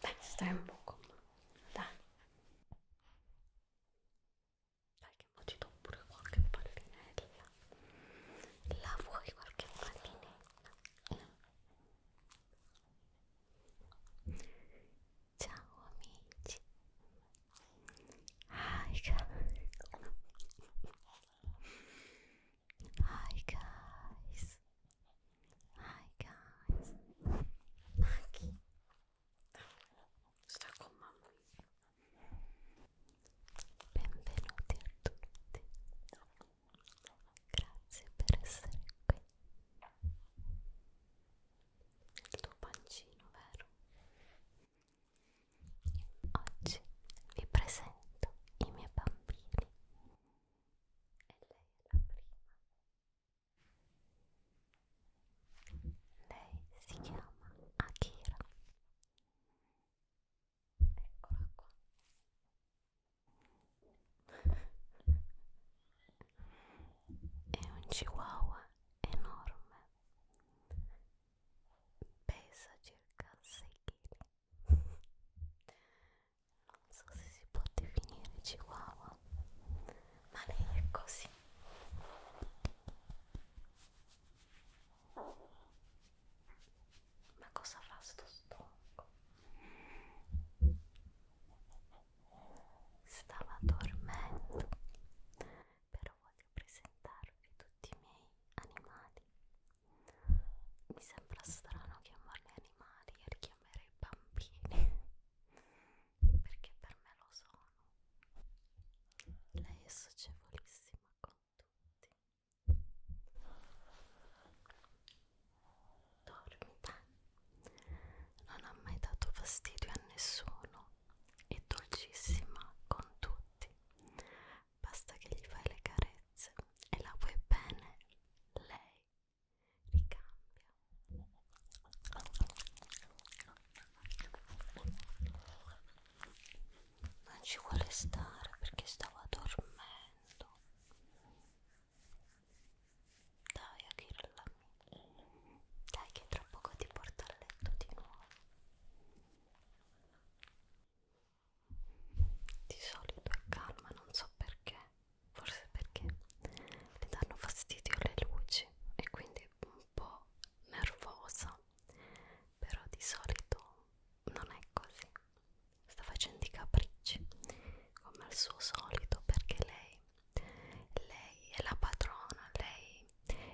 Dai, stai un po' con me. Dai. Dai che mo ti do pure qualche pallinella. La vuoi qualche pallinella? Ciao amici. Ai, Hi guys Hi guys Maggie Sta con mamma Benvenuti a tutti Grazie per essere qui Il tuo pancino vero? Oggi vi presento i miei bambini e lei è la prima. Lei si chiama Akira. Eccola qua. È un chihuahua enorme. Pesa circa 6 kg non so se si può definire chihuahua, ma lei è così. Ma cosa fa sto stomaco? Stava dormendo, però voglio presentarvi tutti i miei animali mi sembra strano chiamarli animali e richiamare i bambini perché per me lo sono lei è socievolissima con tutti dormi dai non ha mai dato fastidio a nessuno è dolcissima con tutti basta che gli fai le carezze e la vuoi bene, lei ricambia. Non ci vuole stare perché stava dormendo. Dai, Achilla. Dai, che tra poco ti porto a letto di nuovo di solito è calma, non so perché, forse perché le danno fastidio le luci e quindi è un po' nervosa, però di solito non è così, sta facendo i capricci come al suo solito perché lei, lei è la padrona, lei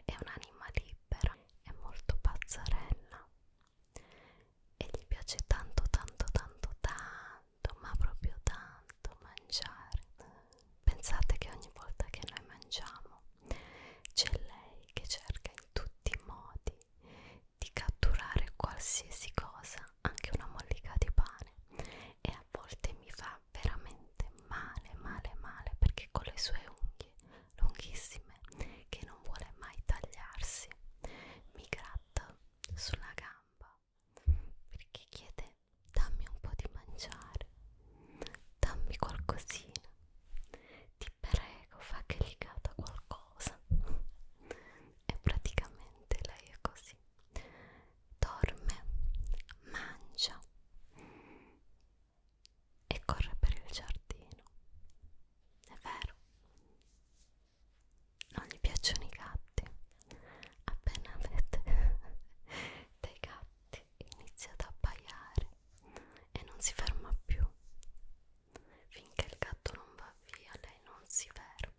è un'anima libera, è molto pazzarella e gli piace tanto tanto tanto tanto ma proprio tanto mangiare pensate che ogni volta che noi mangiamo c'è lei che cerca in tutti i modi di catturare qualsiasi cosa anche una mollica di pane e a volte mi fa veramente male male male perché con le sue unghie lunghissime che non vuole mai tagliarsi mi gratta gatto sulla gamba perché chiede dammi un po' di mangiare, dammi qualcosina, ti prego fa che gli cata qualcosa e praticamente lei è così, dorme, mangia e corre per il giardino, è vero? non gli piacciono i gatti appena avete dei gatti inizia ad abbaiare e non si ferma più finché il gatto non va via lei non si ferma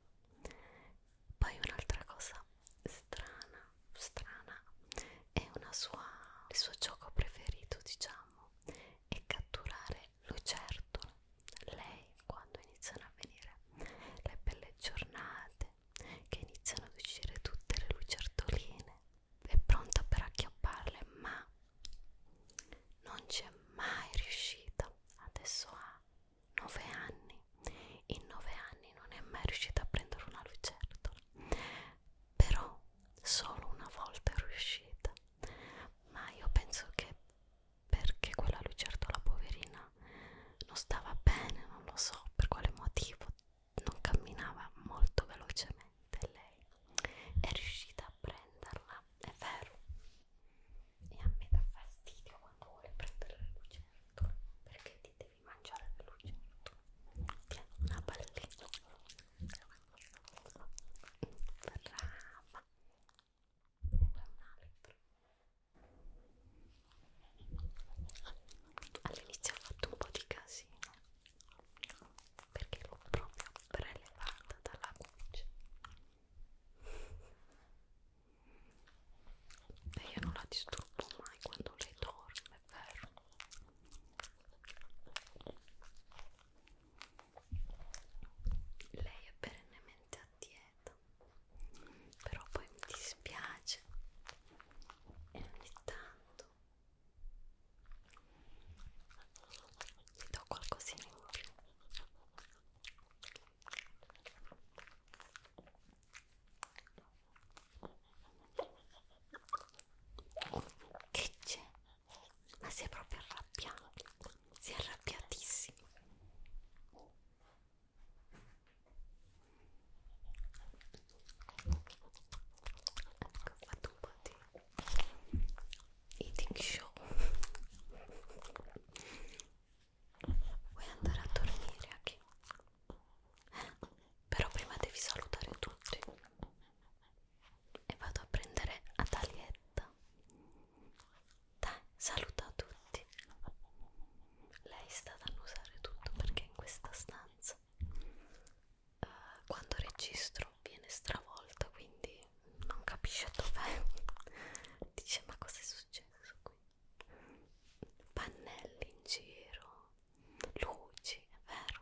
poi un'altra cosa strana strana è una sua il suo gioco preferito diciamo è catturare le ecco, lucertole, lei quando iniziano a venire le belle giornate, che iniziano ad uscire tutte le lucertoline, è pronta per acchiapparle, ma non ci è mai riuscita. Adesso ha 9 anni, in 9 anni non è mai riuscita a prendere una lucertola, però solo una volta è riuscita. Ma io penso che perché quella lucertola poverina non stava bene, non lo so per quale motivo, non camminava molto velocemente lei è riuscita a prenderla, è vero e a me dà fastidio quando vuole prendere le lucertole perché ti devi mangiare le lucertole tieni una pallina brava e poi un altro all'inizio ho fatto un po' di casino perché l'ho proprio prelevata dalla cuccia e io non la disturbo mai quando lei dorme, vero? lei è perennemente a dieta però poi mi dispiace e ogni tanto gli do qualcosina in più che c'è? ma si è proprio arrabbiato, si è arrabbiatissimo. Ecco, ho fatto un po' di eating show. Vuoi andare a dormire anche? Però prima devi salutare tutti e vado a prendere Atalietta. Dai, saluta tutti. Lei sta ad annusare tutto perché in questa stanza uh, quando registro viene stravolta, quindi non capisce dov'è. Dice ma cosa è successo qui? Pannelli in giro, luci, è vero?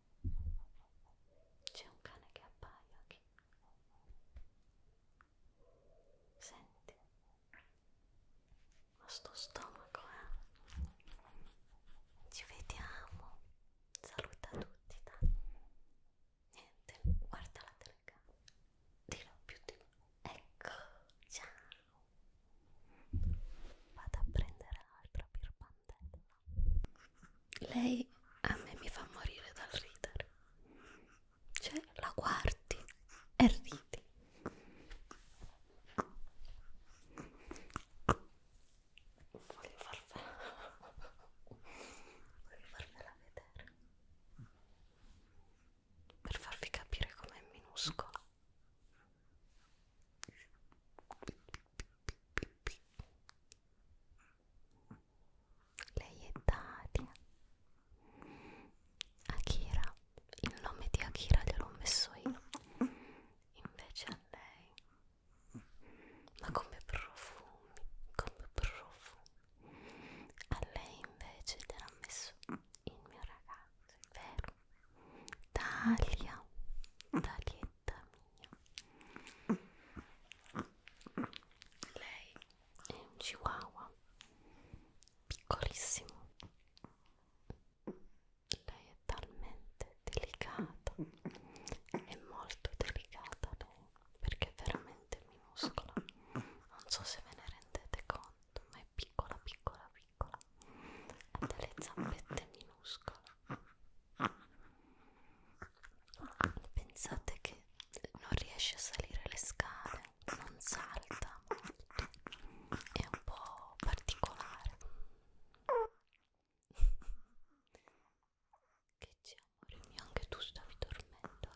C'è un cane che appaia qui. Senti, ma sto stomaco, eh? Ci vediamo. Saluta tutti, dai. Niente, guarda la telecamera. Dillo più di Ecco, ciao. Vado a prendere l'altra birba candela. Lei a me mi fa morire dal ridere. Cioè, la guardi e ridi. Voglio farvela, voglio farvela vedere per farvi capire com'è minuscola. Lei è Daria. Akira, il nome di Akira gliel'ho messo io. Invece a lei. Ma come profumi, come profumi. A lei invece gliel'ha messo il mio ragazzo, è vero? Dalia, Dalietta mia. Lei è un chihuahua piccolissimo. Lei è talmente delicata, è molto delicata lei perché è veramente minuscola. Non so se ve ne rendete conto, ma è piccola, piccola, piccola. Ha delle zampette minuscole Pensate che non riesce a salire le scale, non salta molto, è un po' particolare. che c'è amore mio, anche tu stavi dormendo.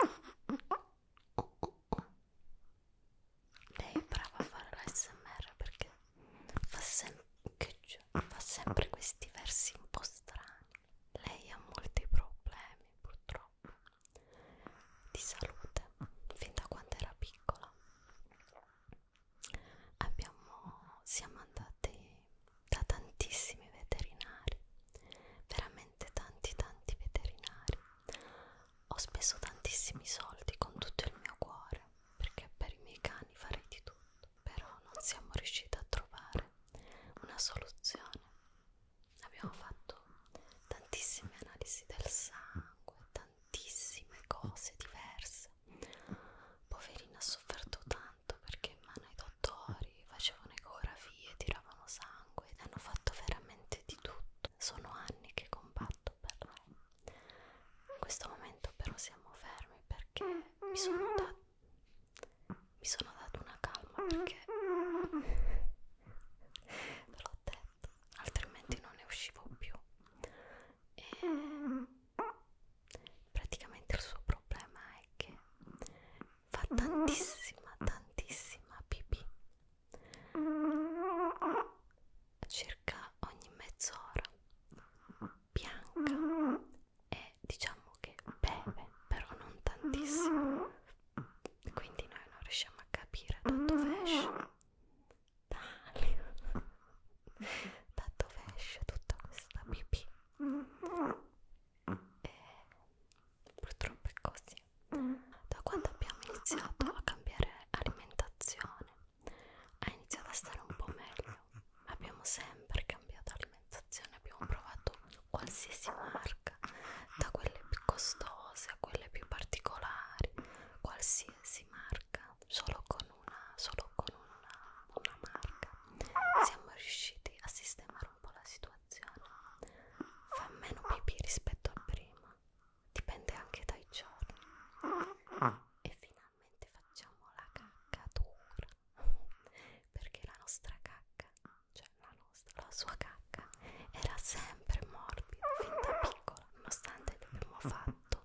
Eh? Oh, oh, oh. Lei è brava a fare l'ASMR perché fa sempre che peggio, ah, fa ah. sempre questi versi un po' strani. Lei ha molti problemi, purtroppo, di salute, fin da quando era piccola. Abbiamo, siamo andati da tantissimi veterinari, veramente tanti tanti veterinari. Ho speso tantissimi soldi con tutto il mio cuore, perché per i miei cani farei di tutto però non siamo riusciti a trovare una soluzione. Abbiamo fatto tantissime analisi del sangue, tantissime cose diverse. Poverina ha sofferto tanto perché in mano ai dottori facevano ecografie, tiravano sangue, hanno fatto veramente di tutto. Sono anni che combatto per lei. In questo momento però siamo fermi perché mi sono, da mi sono dato una calma perché ve l'ho detto, altrimenti non ne uscivo più. E praticamente il suo problema è che fa tantissima, tantissima pipì circa ogni mezz'ora bianca e diciamo che beve però non tantissimo quindi noi non riusciamo a capire da dove esce Dai. da dove esce tutta questa pipì e purtroppo è così da quando abbiamo iniziato a cambiare alimentazione ha iniziato a stare un po' meglio. Abbiamo sempre cambiato alimentazione, abbiamo provato qualsiasi marca, da quelle più costose a quelle più particolari, qualsiasi marca, solo con una, solo con una, una marca. Siamo riusciti a sistemare un po' la situazione. Fa meno pipì rispetto a prima, dipende anche dai giorni. E fino letteralmente facciamo la caccatura perché la nostra cacca, cioè la nostra, la sua cacca era sempre morbida fin da piccola nonostante abbiamo fatto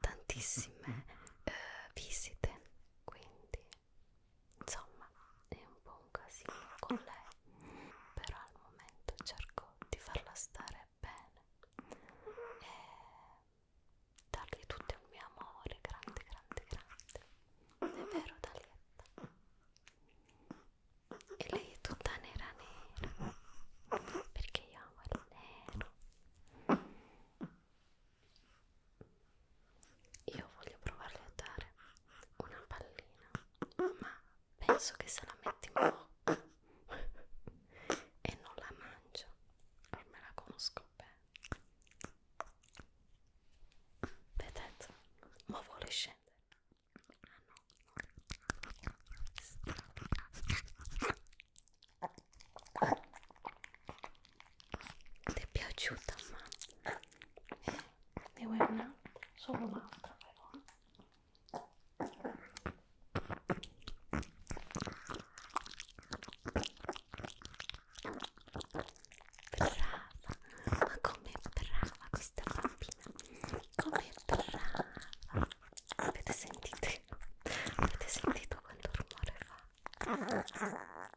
tantissime eh, visite quindi insomma è un po' un casino con lei però al momento cerco di farla stare bene e dargli tutto il mio amore grande grande grande è vero Dalietta e lei è tutta nera nera perché io amo il nero io voglio provarle a dare una pallina ma penso che se la metti in bocca e non la mangio ormai la conosco bene vedete ma vuole scendere ah no ti è piaciuta ma ne vuoi una? solo un'altra però eh. Brava, ma com'è brava questa bambina, com'è brava. Avete sentito? Avete sentito quanto rumore fa?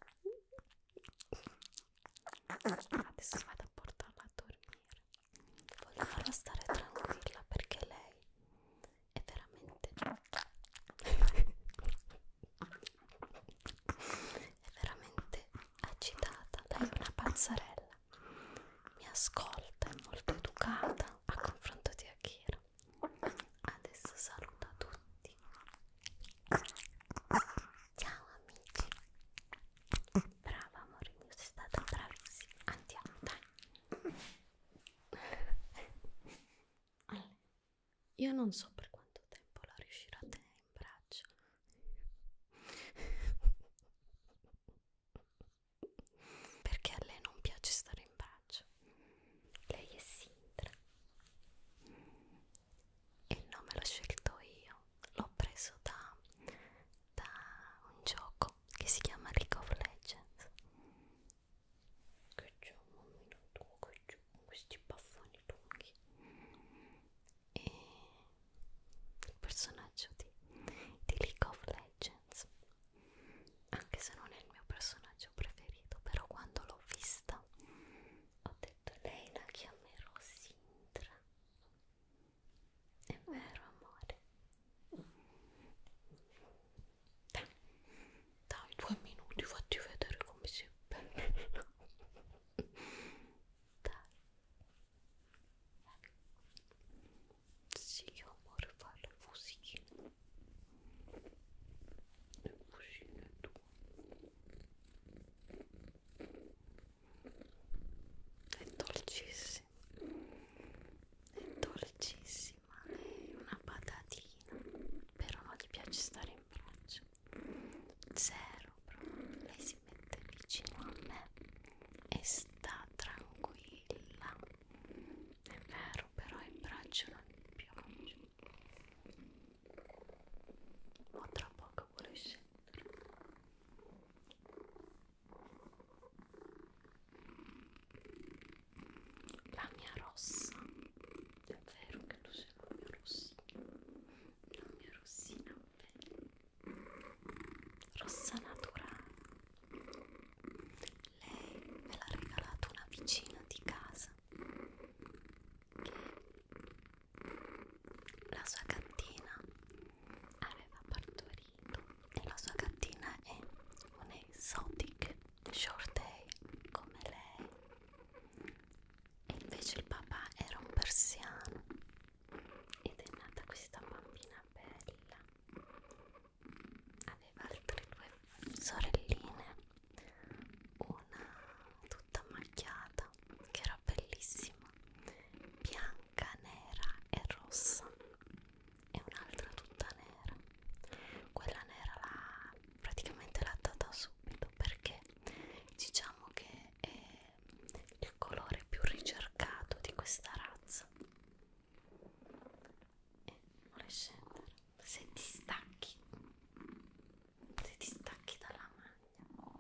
Adesso vado a portarla a dormire. Voglio farla stare tranquilla perché lei è veramente è veramente agitata lei è una pazzarella mi ascolta è molto educata a confronto di Akira adesso saluta tutti ciao amici brava amore mio sei stata bravissima andiamo dai allora, io non so per quanto tempo la riuscirò a tenere in braccio. Perché a lei non piace stare in braccio. Lei è Sintra. Il nome l'ho scelto io. L'ho preso da, da un gioco che si chiama League of Legends che c'è un momento tuo che c'è con questi baffoni lunghi e il personaggio di, di League of Legends anche se non è il mio personaggio preferito però quando l'ho vista ho detto lei la chiamerò Sintra è vero amore dai, dai due minuti fatti vedere come si bella dai sì amore fai la fusina la fusina tua è dolcissima è dolcissima ma lei è una patatina però non gli piace stare in braccio zero proprio lei si mette vicino a me e sta tranquilla è vero però il braccio non gli piace ma tra poco vuole scendere la mia rossa è vero che tu sei la mia rossina la mia rossina rossa naturale lei me l'ha regalata una vicina di casa che la sua gattina aveva partorito e la sua gattina è un exotic short day come lei e invece il papà era un persiano ed è nata questa bambina bella aveva altre due sorelline una tutta macchiata che era bellissima bianca, nera e rossa e un'altra tutta nera quella nera l'ha praticamente l'ha data subito perché diciamo che è il colore più ricercato di questa razza e vuole scendere se ti stacchi se ti stacchi dalla maglia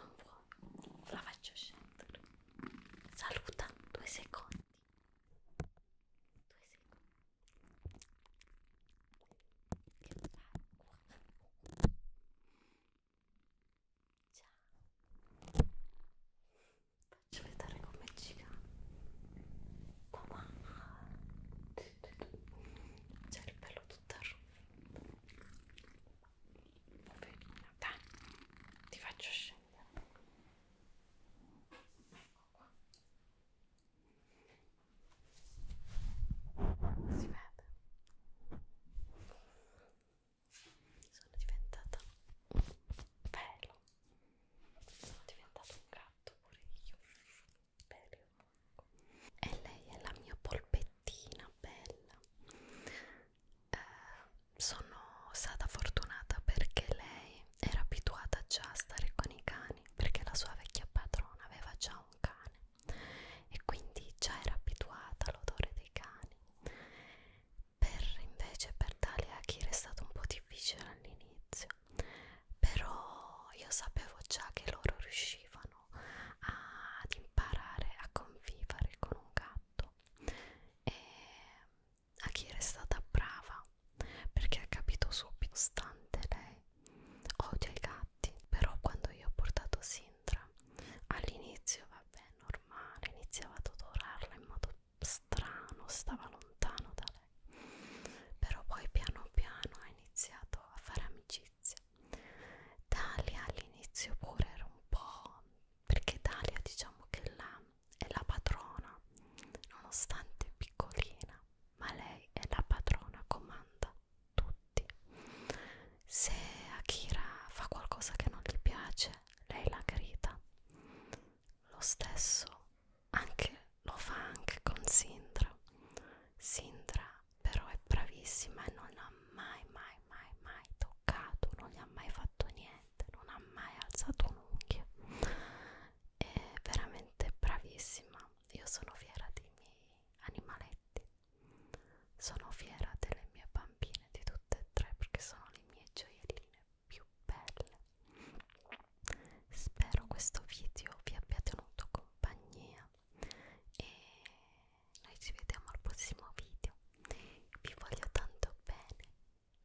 non vuoi la faccio scendere saluta due secondi senti? Tu sei qua. Che fai qua? Ciao. Faccio vedere come gira. Mamma. C'è il pelo tutto arruffato. Poverina, dai. Ti faccio scendere. Ecco qua. Si vede? Sono diventata un pelo. Sono diventato un gatto pure io. Pelo. E lei è la mia polpettina bella. Eh, sono stata fortunata perché lei era abituata già a stare con i cani perché la sua vecchia padrona aveva già un cane e quindi già era abituata all'odore dei cani. Per invece per Talia Akira è stato un po' difficile all'inizio, però io sapevo già che loro riuscivano ad imparare a convivere con un gatto e a chi era stata brava perché ha capito subito stante lei odia i gatti però quando io ho portato Sintra all'inizio vabbè normale iniziava ad odorarla in modo strano stava lontano da lei però poi piano piano ha iniziato a fare amicizia Dalia all'inizio pure era un po' perché Dalia diciamo che l'ha è la padrona, nonostante è piccolina, ma lei è la padrona, comanda tutti. Se Akira fa qualcosa che non gli piace, lei la grida. Lo stesso anche, lo fa anche con Sindra. Sindra però è bravissima e non l'ha mai mai mai mai toccato, non gli ha mai fatto niente niente, non ha mai alzato un'unghia. È veramente bravissima. Io sono fiera dei miei animaletti, sono fiera delle mie bambine, di tutte e tre, perché sono le mie gioielline più belle. Spero questo video vi abbia tenuto compagnia e noi ci vediamo al prossimo video. Vi voglio tanto bene.